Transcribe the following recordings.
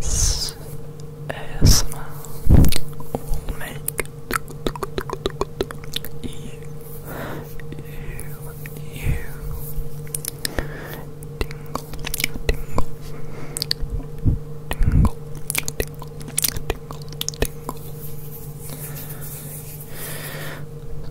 This is will make you, you, you tingle, tingle, tingle, tingle, tingle, tingle.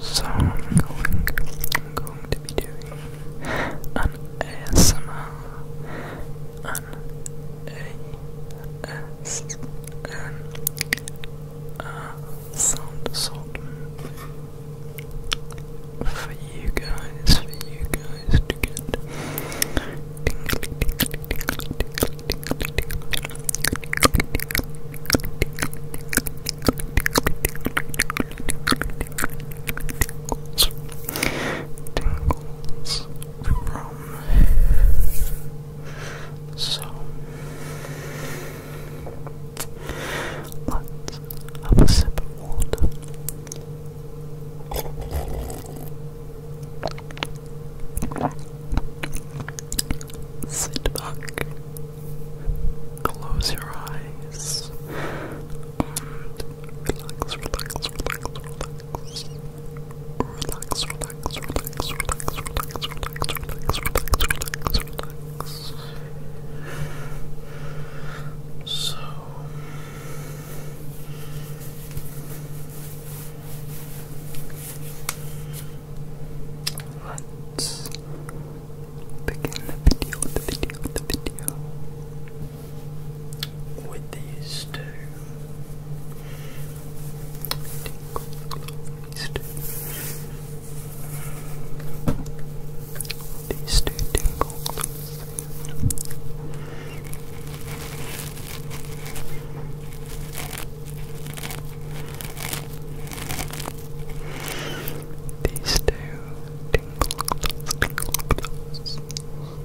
So I'm going, I'm going to be doing an ASMR an a s n a sound salt for you guys, for you guys to get tingles from. So let of water. Sit back, close your eyes, relax, relax, relax, relax, relax, relax, relax, relax, relax, relax, relax, relax. So. Let's begin the video, the video, the video with these two. These two. These two tingle. These two tingle, close, tingle, close.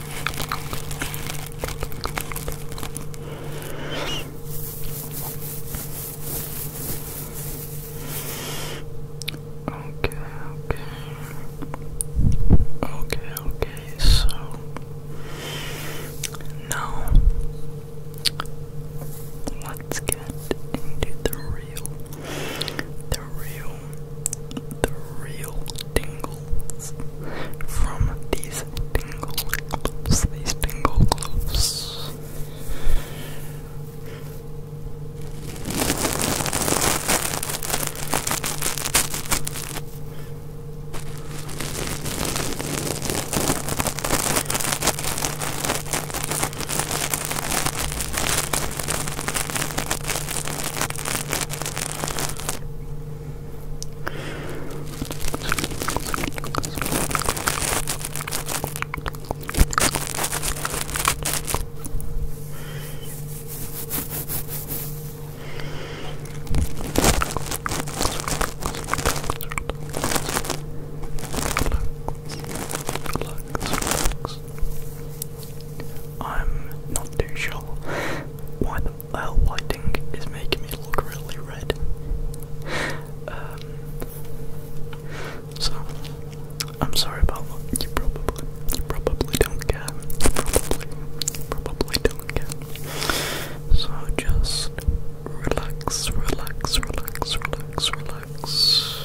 Okay, okay. Okay, okay, so now let's get into the real, the real, the real from these tingle gloves, these tingle gloves relax. I'm not too sure that lighting is making me look really red. Um, so, I'm sorry about that. You probably, you probably don't care. probably, probably don't care. So just relax, relax, relax, relax, relax.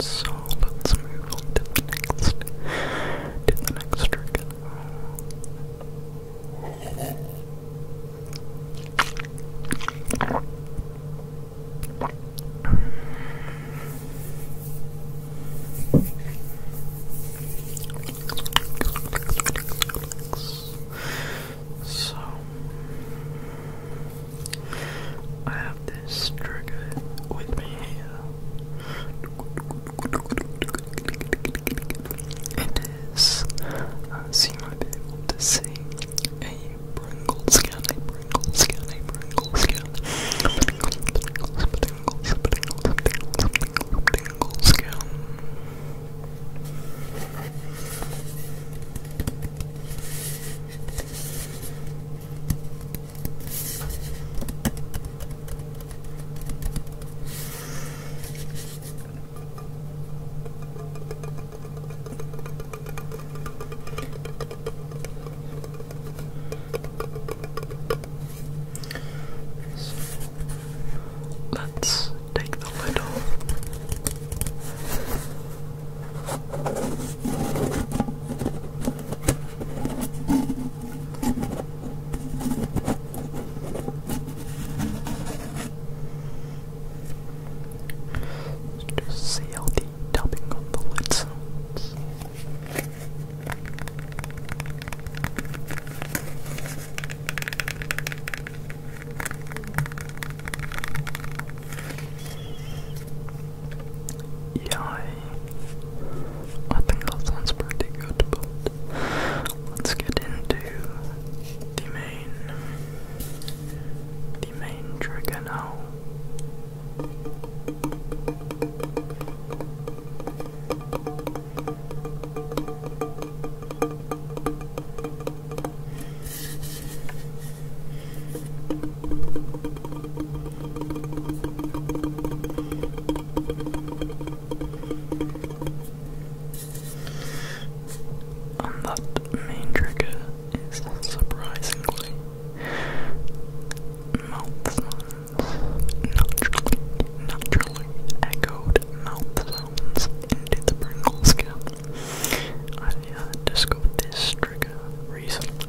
So let's move on to the next to the next trick. So, I have this trigger with me It is, uh, so you might be able to a Pringle a Pringle a Pringle a Pringle, Pringles, Pringles, Let's take the lid Let's just see how the tapping on the lids. Yeah, I think that sounds pretty good, but let's get into the main, the main trigger now. And that main trigger is surprisingly mouth sounds. Naturally, naturally echoed mouth sounds into the Pringles can. I uh, discovered this trigger recently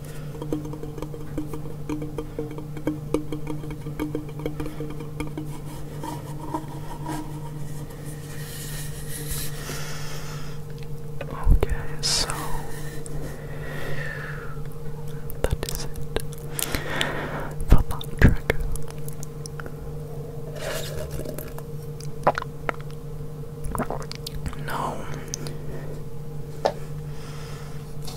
Okay, so that is it for that trigger. No.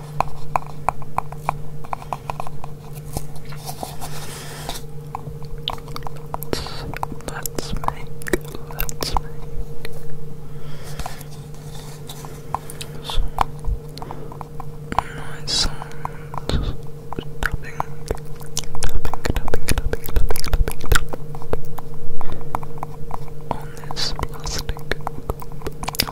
Let's make, let's make nice sounds. Tapping, tapping, tapping, tapping, tapping, tapping, on this plastic.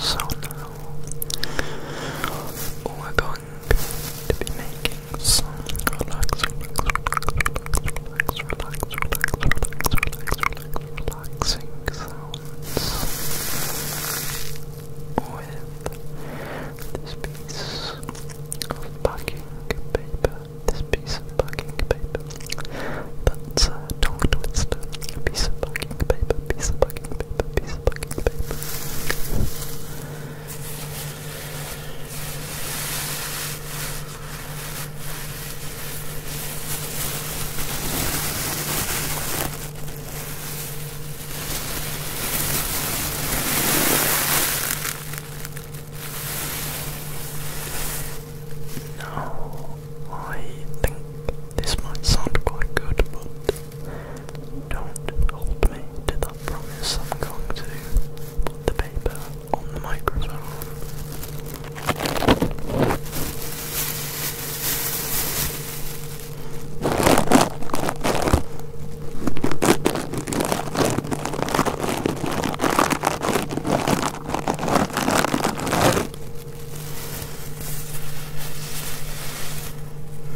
So now all I got going to making some relax, relax, relax, relax, relax, relax, relax, relax, relax, relaxing sounds with this piece of packing paper. This piece of packing paper. That's a tongue A piece of packing paper. Piece of packing paper. Piece of fucking paper. No, I think this might sound quite good, but don't hold me to that promise. I'm going to put the paper on the microphone.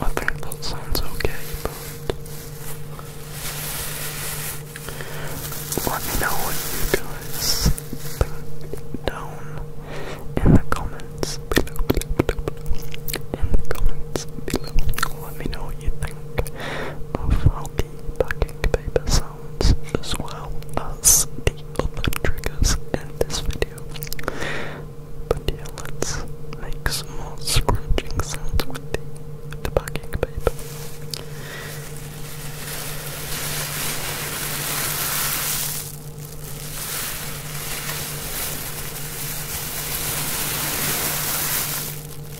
I think that sounds okay, let me know what you guys think down in the comments below. In the comments below, let me know what you think of how the packing paper sounds as well as the other triggers in this video. But yeah, let's make small more scrunching sounds with the, with the packing paper.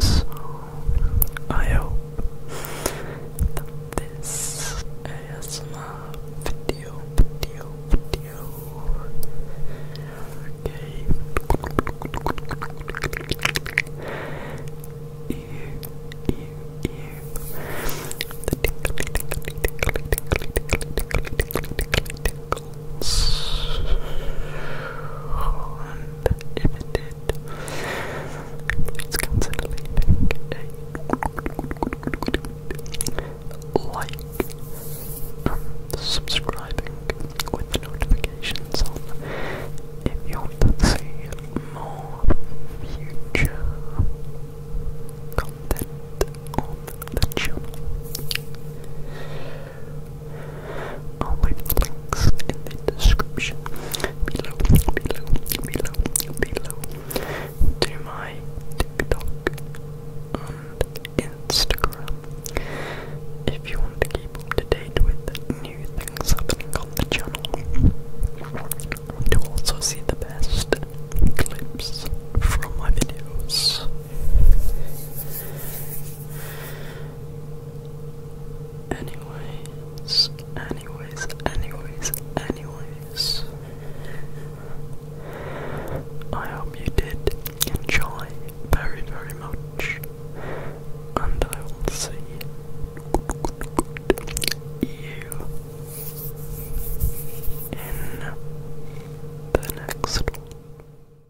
So, I hope that this ASMR video, video, video, gave you, you, you, chemicals uninhibited. Please consider leaving a like subscribing with notifications on if you want to see more future content on the channel. All my links in the description below, below, below, below to my TikTok and Instagram. If you want to keep up to date with new things happening on the channel, to also see the best clips from my videos. Anyways, anyways, anyways, anyways. I hope you did enjoy very, very much. And I will see you in the next one.